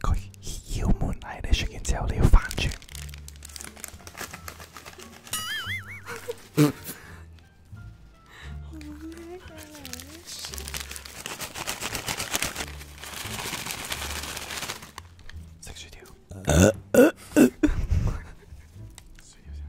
佢要門喺你出完之後，你要反轉。食薯條。呃呃呃薯條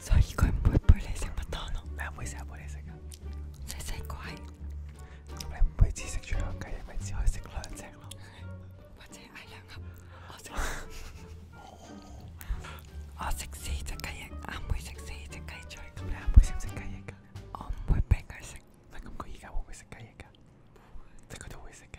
所以佢唔會陪你食麥當勞。你唔會成日陪你食噶。細細個係。咁你每次食住兩雞翼，咪只可以食兩隻咯。或者嗌兩盒，我食。我食四隻雞翼，阿妹食四隻雞嘴。咁你阿妹食唔食雞翼噶？我唔會俾佢食。咁佢而家會唔會食雞翼噶？即係佢都會食嘅。